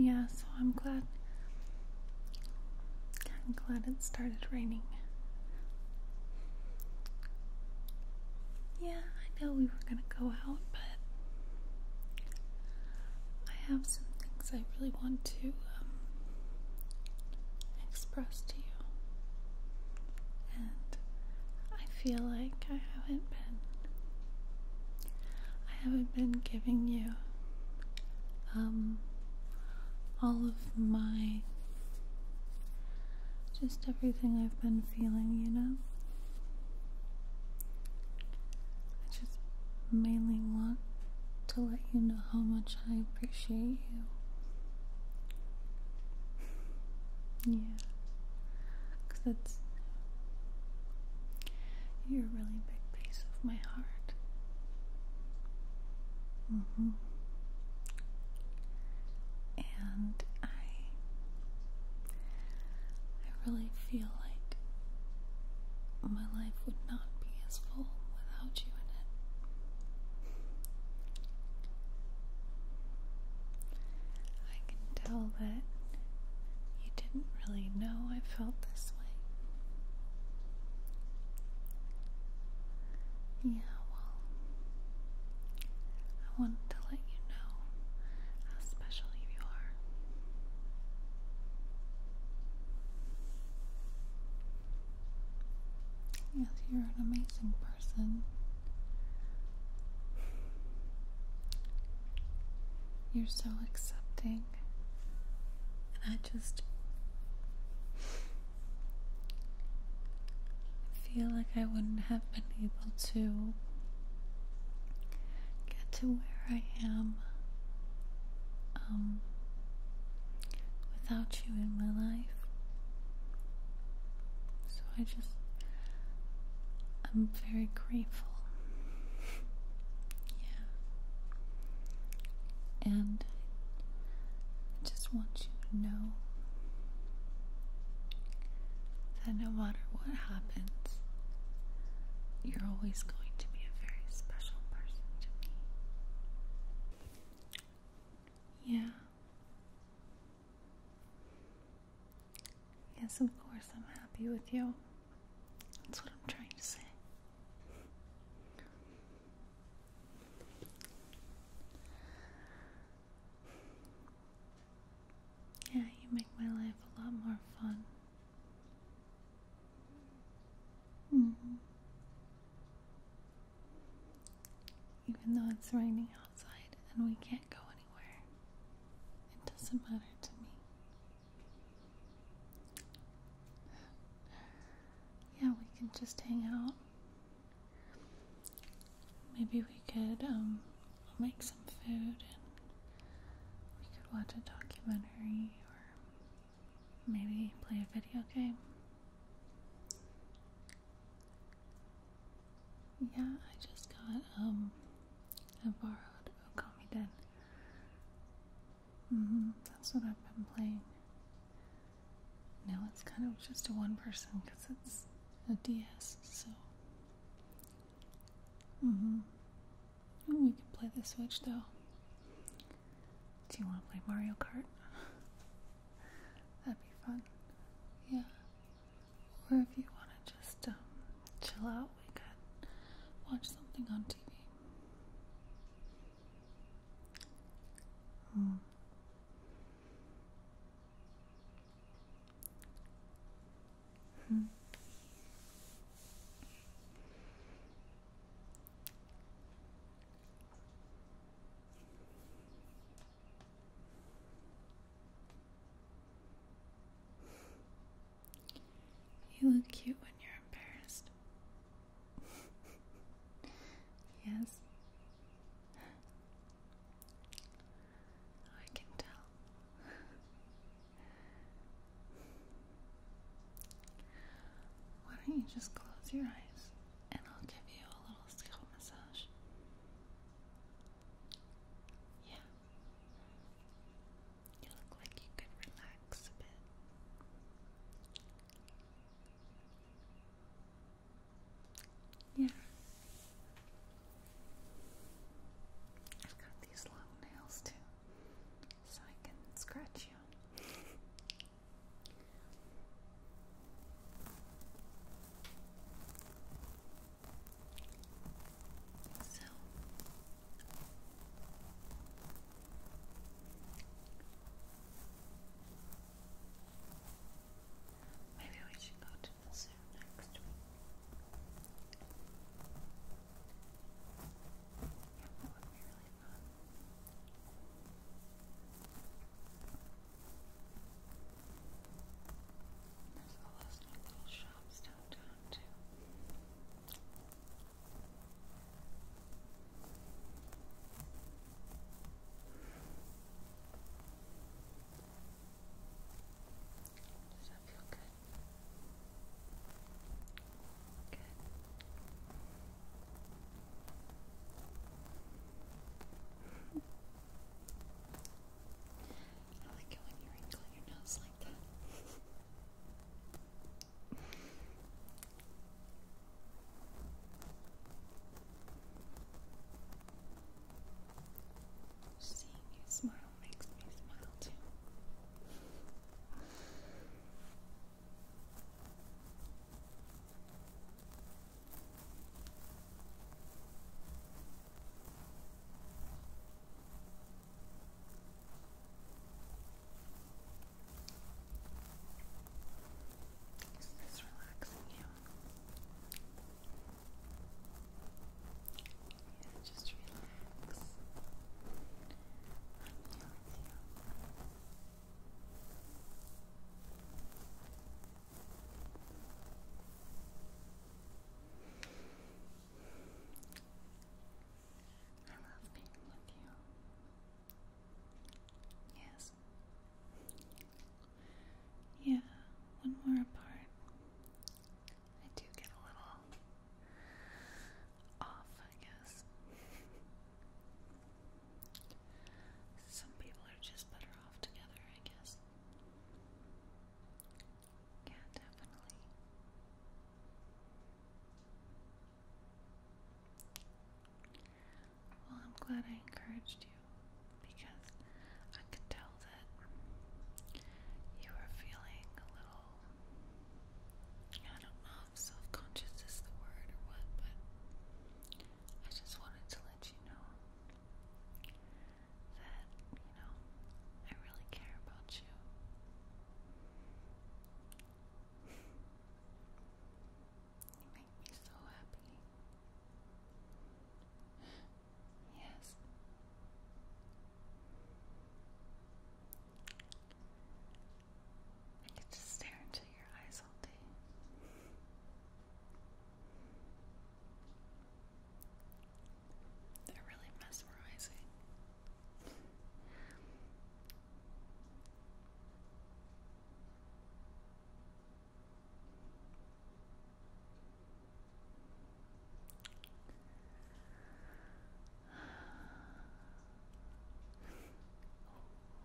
Yeah, so I'm glad I'm glad it started raining. Yeah, I know we were gonna go out, but I have some things I really want to um, express to you. And I feel like I haven't been I haven't been giving you um, all of my just everything I've been feeling, you know? I just mainly want to let you know how much I appreciate you. Yeah. Because that's. You're a really big piece of my heart. hmm and I I really feel like my life would not be as full without you in it. I can tell that you didn't really know I felt this way yeah, well, I wanted to let you know how special you are. Yes, you're an amazing person. You're so accepting, and I just. I feel like I wouldn't have been able to get to where I am um, without you in my life. So I just, I'm very grateful. yeah. And I just want you to know that no matter what happens, you're always going to be a very special person to me. Yeah. Yes, of course, I'm happy with you. That's what I'm trying to say. Yeah, you make my life a lot more fun. Mm-hmm. Even though it's raining outside and we can't go anywhere, it doesn't matter to me. Yeah, we can just hang out Maybe we could um, make some food and we could watch a documentary or maybe play a video game. Yeah, I just got um I borrowed Okami Den. Mm-hmm, that's what I've been playing. Now it's kind of just a one person because it's a DS, so. Mm hmm. Ooh, we can play the Switch though. Do you want to play Mario Kart? That'd be fun. Yeah. Or if you want to just um, chill out, we could watch something on TV. Mm. Mm. You look cute when you're embarrassed yes. I can tell. Why don't you just close your eyes and I'll give you a little scalp massage? Yeah. You look like you could relax a bit. Yeah. I've got these long nails too, so I can scratch you. so Maybe we should go to the zoo next week. that would be really fun. There's all those new little shops downtown, too. Does that feel good? Good. I like it when you wrinkle your nose like that. Seeing you smile makes me smile too. Is this relaxing you? just relax. I'm you. I love being with you. Yes. Yeah, when we apart, I do get a little off, I guess. Some people are just better off together, I guess. Yeah, definitely. Well, I'm glad I encouraged you because I could tell that you were feeling a little. I don't know if self conscious is the word or what, but I just wanted to let you know that, you know, I really care about you you make me so happy. Yes. I could just stare into your eyes all day. They're really mesmerizing.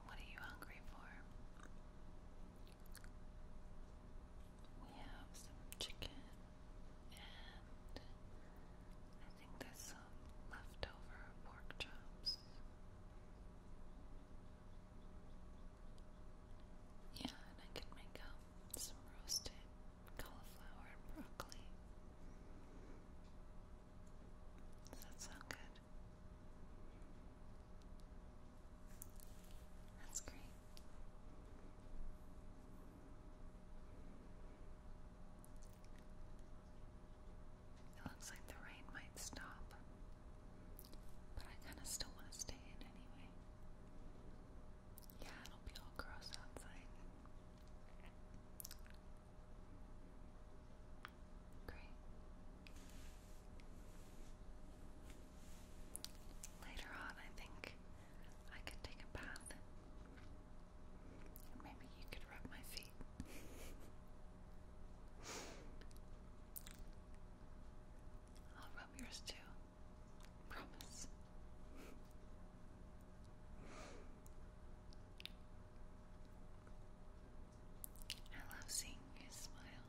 What are you hungry for? We have some chicken and I think there's some leftover pork chops. Yeah, and I could make um, some roasted cauliflower and broccoli. Does that sound good? That's great. It looks like the rain might stop, but I kind of still want to stay in anyway. Yeah, it'll be all gross outside. Great. Later on, I think I could take a bath. Maybe you could rub my feet. I'll rub yours too. Promise. I love seeing you smile.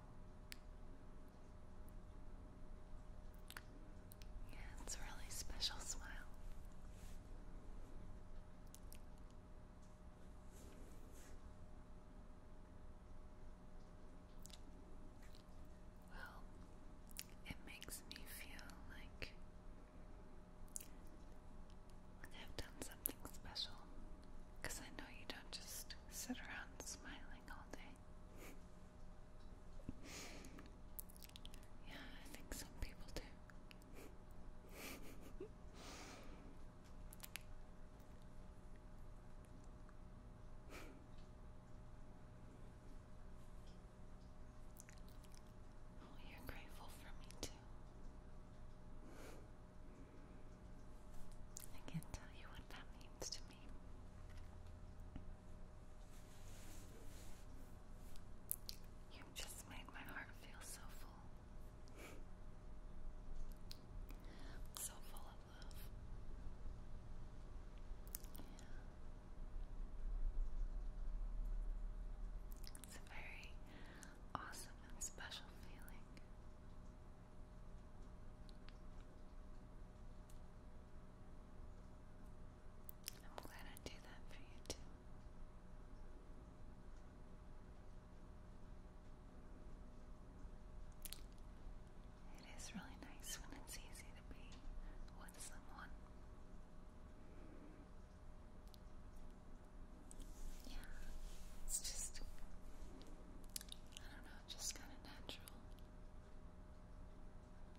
Yeah, it's a really special smile. Well, it makes me feel like I've done something special I know you don't just sit around smiling all day. Yeah, I think some people do. Oh, you're grateful for me too. I can't tell you what that means to me. You just made my heart feel so full. so full of love. Yeah. It's a very awesome and special feeling. I'm glad I do that for you too. It is really nice when it's easy to be with someone. Yeah, it's just, I don't know, just kind of natural.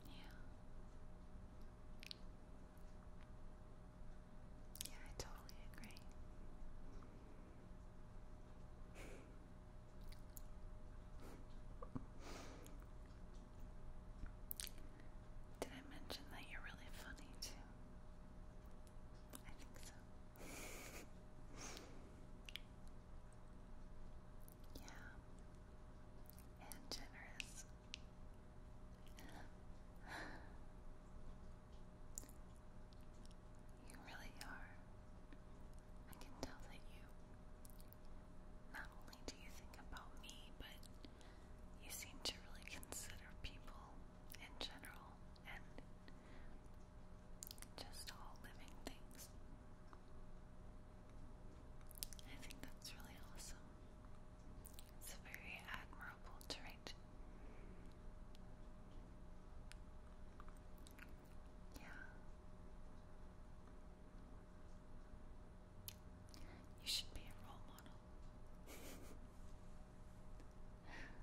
Yeah. Yeah, I totally agree. Did I mention that you're really funny too? I think so. Yeah. And generous. You really are. I can tell that you not only do you think about me, but you seem to really consider people in general and just all living things. I think that's really awesome. It's a very admirable trait. Yeah. You should be a role model.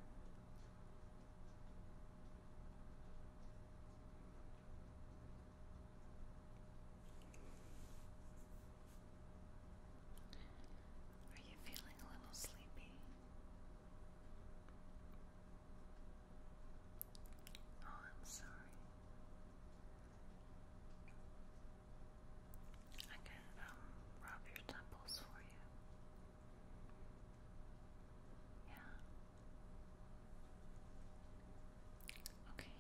Are you feeling a little sleepy? Oh, I'm sorry. I can um rub your temples for you. Yeah. Okay.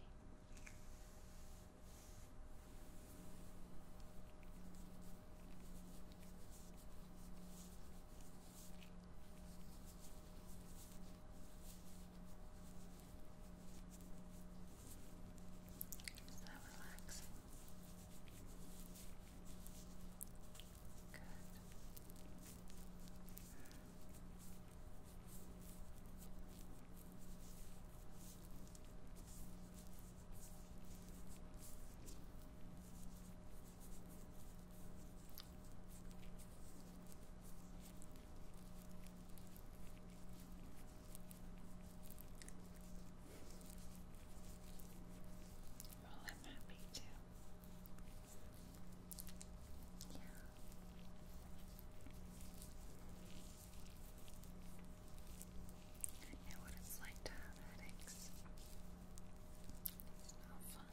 Is that relaxing? Well, I'm happy to yeah. I know what it's like to have headaches. It's no fun. And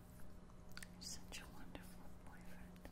You're such a wonderful boyfriend.